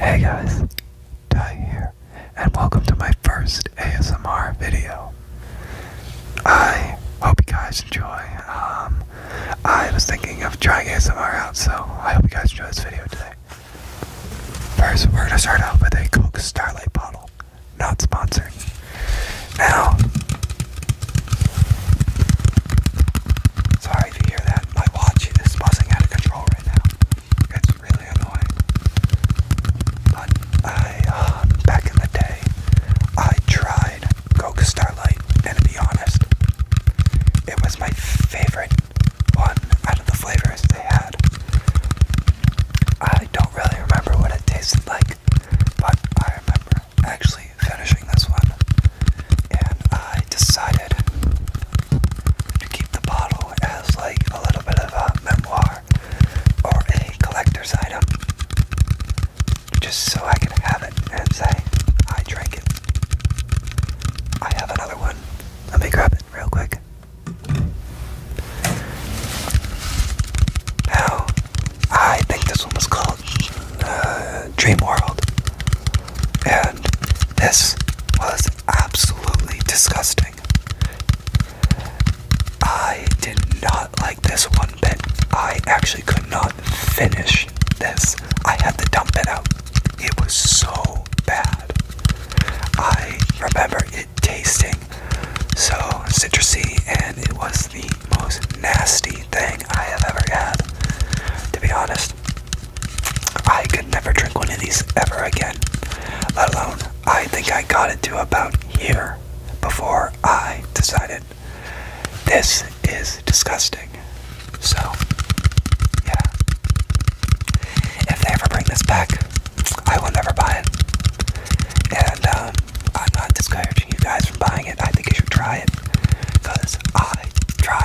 Hey guys, Ty here, and welcome to my first ASMR video. I hope you guys enjoy. Um, I was thinking of trying ASMR out, so I hope you guys enjoy this video today. First, we're gonna start off with a Coke Starlight bottle, not sponsored. Now, sorry if you hear that. My watch is buzzing out of control right now. It's really annoying. I, um, back in the day, I tried Coca Starlight, and to be honest, it was my favorite one out of the flavors they had. I don't really remember what it tasted like, but I remember actually finishing this one, and I decided to keep the bottle as like a little bit of a memoir or a collector's item just so I can have it and say I drank it. I have another one. Let me grab it real quick. Now, I think this one was called uh, Dream World, and this was absolutely disgusting. I did not like this one bit. I actually could not finish this. I had to dump it out. It was so bad. I remember it tasting so citrusy, and it was the most nasty thing I have ever had. To be honest, I could never drink one of these ever again, let alone I think I got it to about here before I decided this is disgusting. So, yeah. If they ever bring this back, I will never buy it. And um, I'm not discouraging you guys from buying it. I think you should try it because I tried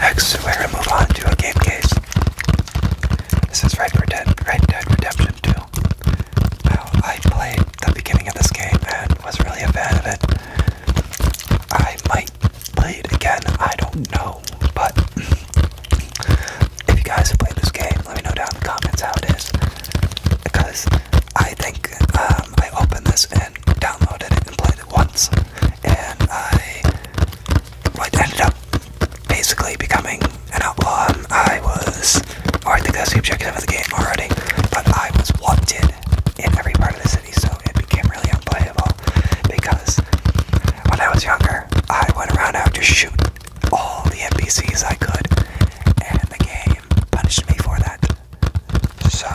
Next, we're going move on to a game case. This is Red Dead, Red Dead Redemption 2. I played the beginning of this game and was really a fan of it. I might play it again, I don't know, but if you guys have played this game, let me know down in the comments how it is. Because I think um, I opened this and downloaded it and played it once, and I I ended up basically becoming an outlaw. Um, I was, or I think that's the objective of the game already, but I was wanted in every part of the city, so it became really unplayable because when I was younger, I went around out to shoot all the NPCs I could, and the game punished me for that. So,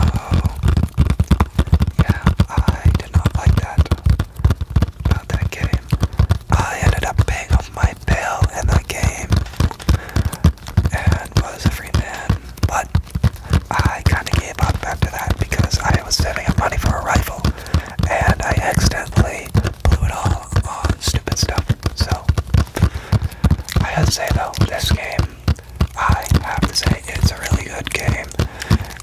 yeah, I did not like that. How did I I ended up paying off my bill in the game and was a free man. But I kind of gave up after that because I was saving up money for a rifle and I accidentally blew it all on stupid stuff. So I have to say though, this game, I have to say it's a really good game.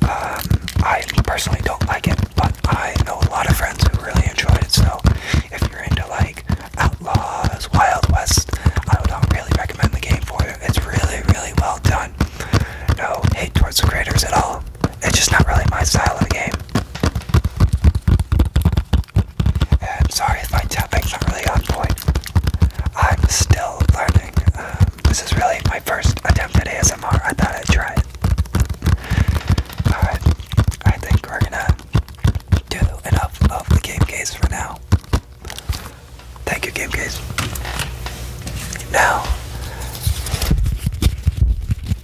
Um, I personally don't like it, but I know a lot of friends who really enjoy it. So if you're into like Outlaws, Wild West, I would not um, really recommend the game for you. It's really, really well done. No hate towards the creators at all. It's just not really my style of game. And sorry if my tapping's not really on point. I'm still learning. Um, this is really my first attempt at ASMR. I thought I'd try it. Alright, I think we're gonna do enough of the game case for now. Thank you, game case. Now,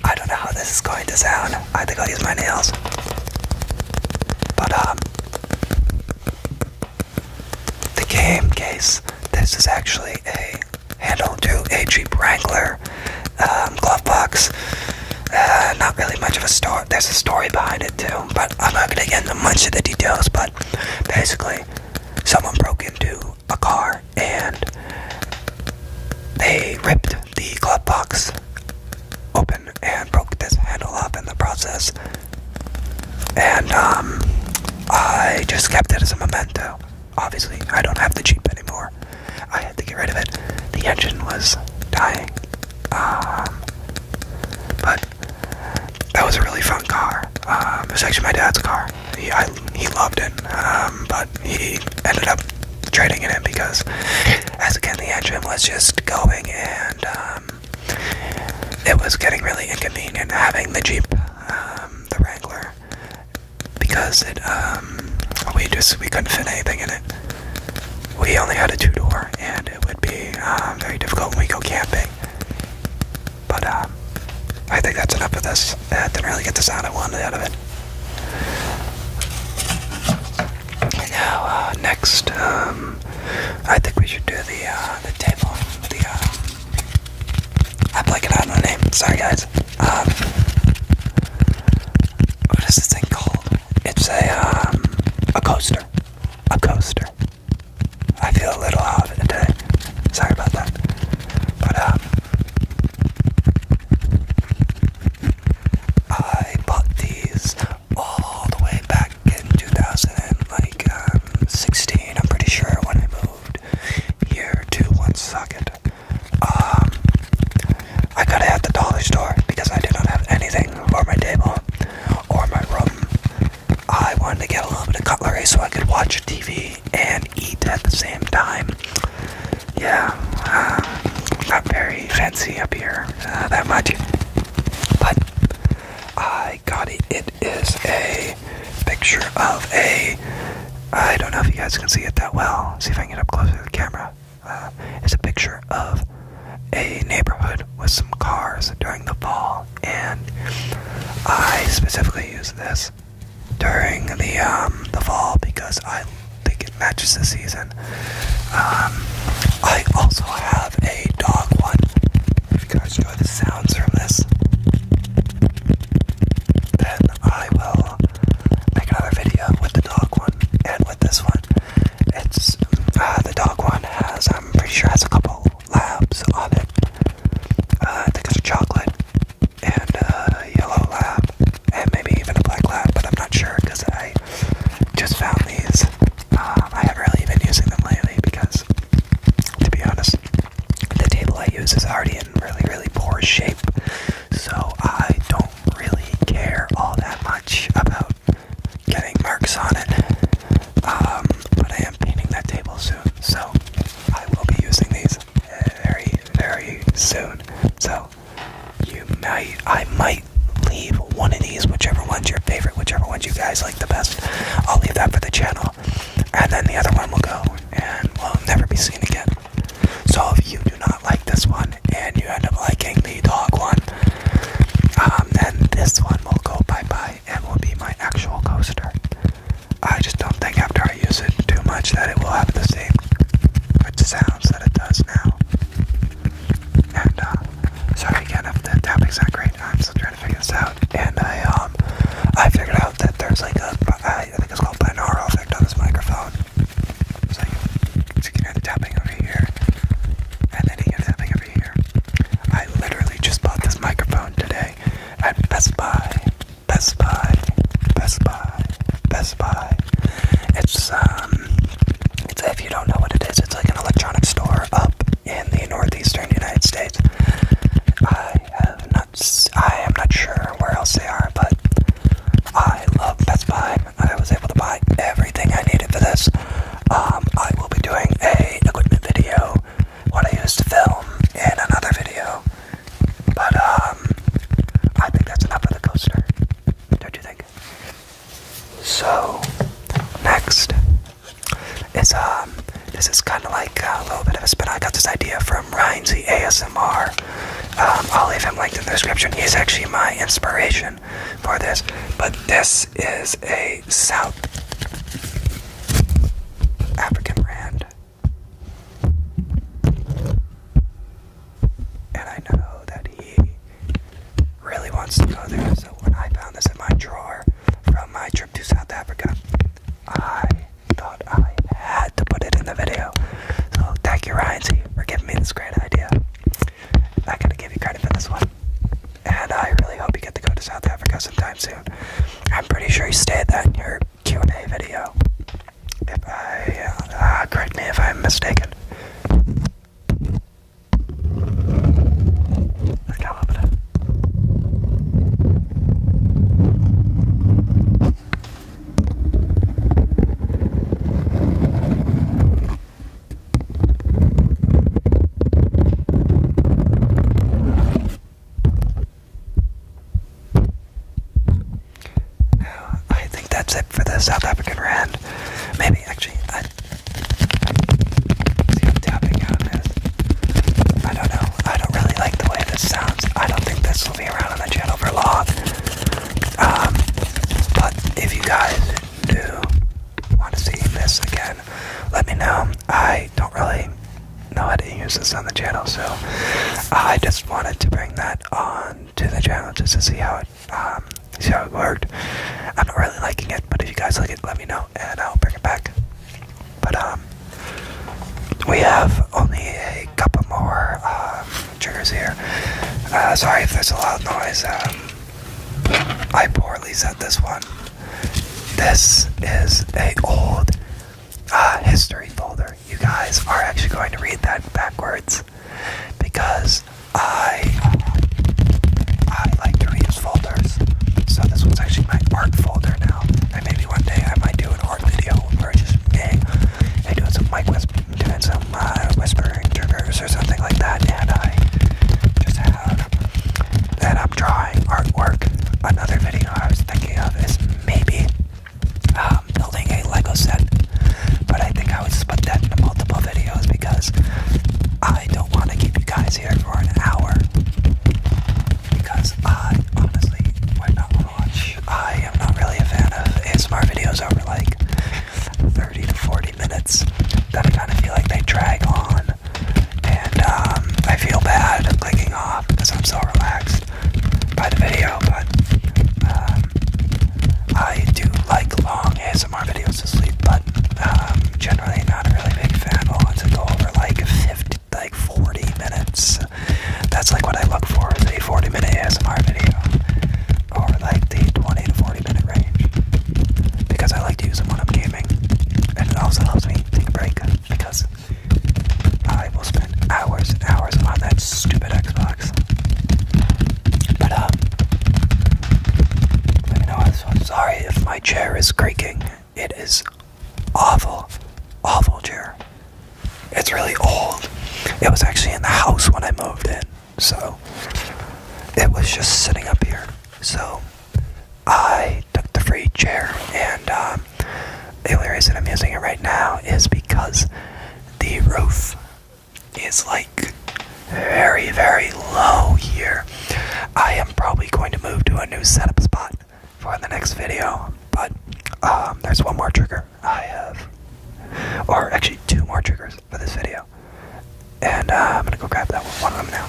I don't know how this is going to sound. I think I'll use my nails. But, um, the game case this is actually a handle to a Jeep Wrangler um, glove box. Uh, not really much of a story. There's a story behind it too, but I'm not gonna get into much of the details. But basically, someone broke into a car and they ripped the glove box open and broke this handle off in the process. And um, I just kept it as a memento. Obviously, I don't have the Jeep anymore. I had to get rid of it. The engine was dying. Um, but that was a really fun car. Um, it was actually my dad's car. He, he loved it, um, but he ended up trading it in because, as again, the engine was just going and it was getting really inconvenient having the Jeep, the Wrangler, because it um, we just we couldn't fit anything in it. We only had a two door, and it would be uh, very difficult when we go camping. But uh, I think that's enough of this. I didn't really get the out of one out of it. Now, uh, next, um, I think we should do the the table, the um, I blanked out my name. Sorry, guys. Um, what is this thing called? It's a um, a coaster. A coaster. I feel a little off today. Sorry about that. But um, I bought these all the way back in 2000, um, I'm pretty sure when I moved here to one second. Um, I got it at the dollar store because I do not have anything for my table or my room. I wanted to get a little bit of cutlery so I could watch TV and eat at the same time. Yeah, uh, not very fancy up here uh, that much, but I got it. It is a picture of a. I don't know if you guys can see it that well. see if I can get up closer to the camera. Uh, it's a picture of a neighborhood with some cars during the fall, and I specifically use this during the um, the fall because I think it matches the season. Um, I also have a dog one. If you guys enjoy the sounds from this, then I will make another video with the dog one and with this one. It's uh, the dog one has I'm pretty sure has a couple labs on it. Uh, I think it's a chocolate and a yellow lab and maybe even a black lab, but I'm not sure because I just found these. Uh, I haven't really been using them lately because, to be honest, the table I use is already in really, really poor shape, so I don't really care all that much about getting marks on it. Um, but I am painting that table soon, so I will be using these very, very soon. So you might, I might leave one of these, whichever one's your favorite, whichever ones you guys like the best. I'll leave that for the channel and then the other one will go and will never be seen again. So if you do not like this one and you end up liking the dog one, um, then this one will go bye bye and will be my actual coaster. I just don't think after I use it too much that it will have the same sounds that it does now. And uh, again if the tapping's not great. I'm still trying to figure this out. And I um I figured out that there's like a, I think it's called binaural effect on this microphone. So you can hear tapping over here, and then you hear tapping over here. I literally just bought this microphone today at Best Buy. Best Buy, Best Buy, Best Buy. It's um, it's if you don't know what it is, it's like an electronics store up in the northeastern United States. I have I am not sure where else they are, but I love Best Buy. I was able to buy everything I needed for this. Um, I will be doing a equipment video, what I used to film, in another video. But um, I think that's enough of the coaster. Don't you think? So next is um this is kind of like uh, a little bit of a spin. I got this idea from Ryan Z ASMR. Um, I'll leave him linked in the description. He's actually my inspiration for this. But this is a South African brand. And I know that he really wants to go there. So when I found this in my drawer from my trip to South Africa, I thought I had to put it in the video. So thank you, Ryan C, for giving me this great idea. I gotta give you credit for this one. And I really hope you get to go to South Africa sometime soon. I'm pretty sure you stated that in your Q&A video. If I, uh, ah, correct me if I'm mistaken. I can't open it. I think that's it for the South African Rand. Maybe, actually, I, don't know. I don't really like the way this sounds. I don't think this will around on the channel for long. Um, but if you guys do want to see this again, let me know. I don't really know how to use this on the channel, so uh, I just wanted to bring that on to the channel just to see how it um, see how it worked. I'm not really liking it, but if you guys like it, let me know, and I'll bring it back. But um, we have only a couple more um, triggers here. Uh, sorry if there's a loud noise. Um, I poorly said this one. This is a old uh, history folder. You guys are actually going to read that backwards because I I like to reuse folders. So this one's actually my art folder now. And maybe one day I might do an part video or just hey, hey doing some mic whisp doing some uh, whispering triggers or something like that and I just have that I'm drawing artwork. Another video I was thinking of is maybe um, building a Lego set. But I think I would split that into multiple videos because I don't want to keep you guys here for an hour. Because I honestly would not want to watch I am not really a fan of. ASMR videos over like 30 to 40 minutes that I kind of feel like they drag on, and um, I feel bad clicking off because I'm so relaxed by the video. But um, I do like long ASMR videos to sleep, but um, generally not a really big fan. of Ones that go over like 50, like 40 minutes that's like what I look for is a 40 minute ASMR video or like the 20 to 40 minute range because I like to use them when I'm gaming and it also helps me take a break because I will spend hours and hours on that stupid Xbox. But um, let know. I'm sorry if my chair is creaking. It is awful, awful chair. It's really old. It was actually in the house when I moved in, so it was just sitting up here. So I took the free chair, and um, the only reason I'm using it right now is because the roof is like very, very low here. I am probably going to move to a new setup spot for the next video. But um, there's one more trigger I have, or actually two more triggers for this video, and uh, I'm gonna go grab that one, one of them now.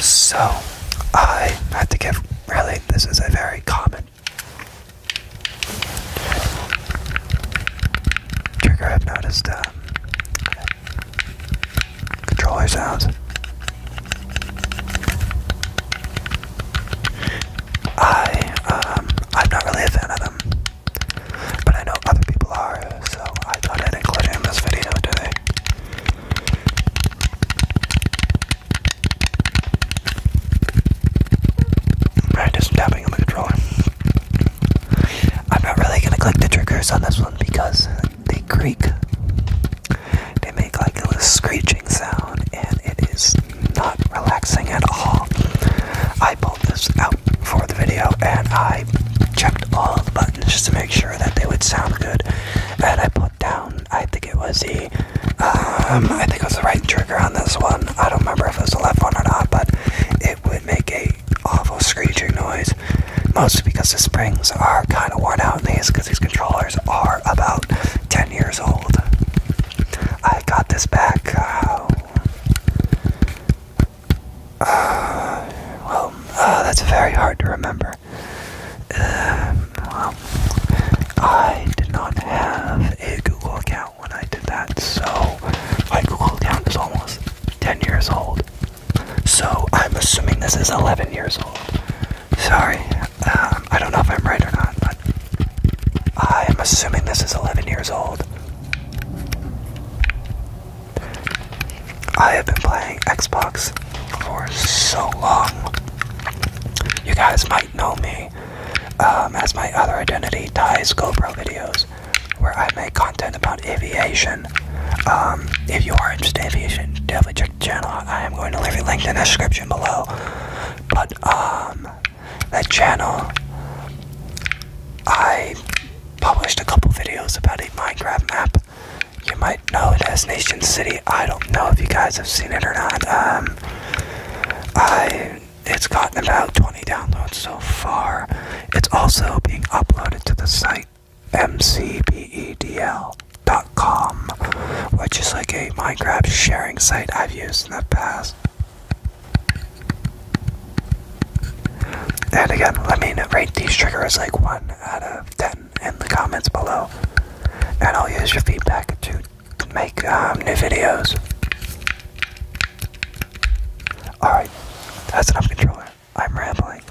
So I have to give. Really, this is a very common trigger I've noticed. Um, controller sounds. I um I'm not really a fan of them, but I know other people are, so I thought I'd in this video today. I tapping on the controller. I'm not really gonna click the triggers on this one because they creak. They make like a little screeching sound, and it is not relaxing at all. I pulled this out for the video, and I checked all the buttons just to make sure that they would sound good. And I put down, I think it was the, um, I think it was the right trigger on this one. I don't remember if it was the left one or not, but it would make a awful screeching noise, mostly because the springs are kind of worn out in these because these controllers are about 10 years old. I got this back, uh, uh, well, uh, that's very hard to remember. Uh, I did not have a Google account when I did that, so my Google account is almost 10 years old. So I'm assuming this is 11 years old. Sorry, um, I don't know if I'm right or not, but I am assuming this is 11 years old. I have been playing Xbox for so long. You guys might know me um, as my other identity, Ty's GoPro videos, where I make content about aviation um, if you are interested in aviation, definitely check the channel I am going to leave a link in the description below. But um, that channel, I published a couple videos about a Minecraft map. You might know it as Nation City. I don't know if you guys have seen it or not. Um, I it's gotten about 20 downloads so far. It's also being uploaded to the site mcbedl.com, which is like a Minecraft sharing site I've used in the past. And again, let me rate these triggers like 1 out of 10 in the comments below. And I'll use your feedback to make um, new videos. Alright, that's enough controller. I'm rambling.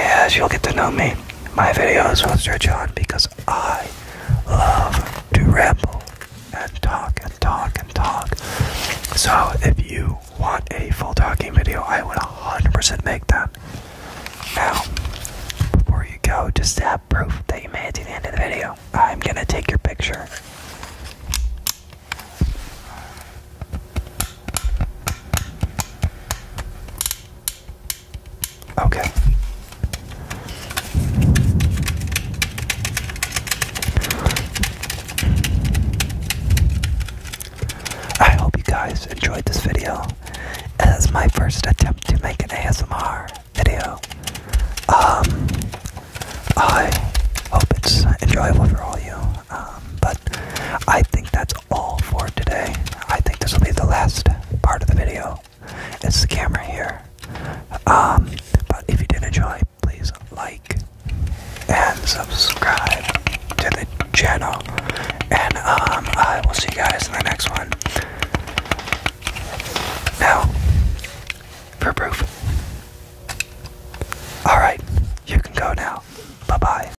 As you'll get to know me, my videos will stretch on because I love to ramble and talk and talk and talk. So if you want a full talking video, I would 100% make that. Now, before you go, just to have proof that you made it to the end of the video, I'm gonna take your picture. Okay. I hope you guys enjoyed this video. As my first attempt to make an ASMR video, um, I hope it's enjoyable for all you. Um, but I think that's all for today. I think this will be the last part of the video. It's the camera here. Um, but if you did enjoy, please like and subscribe to the channel. And um, I will see you guys in the next one. Now, for proof. Alright, you can go now. Bye bye.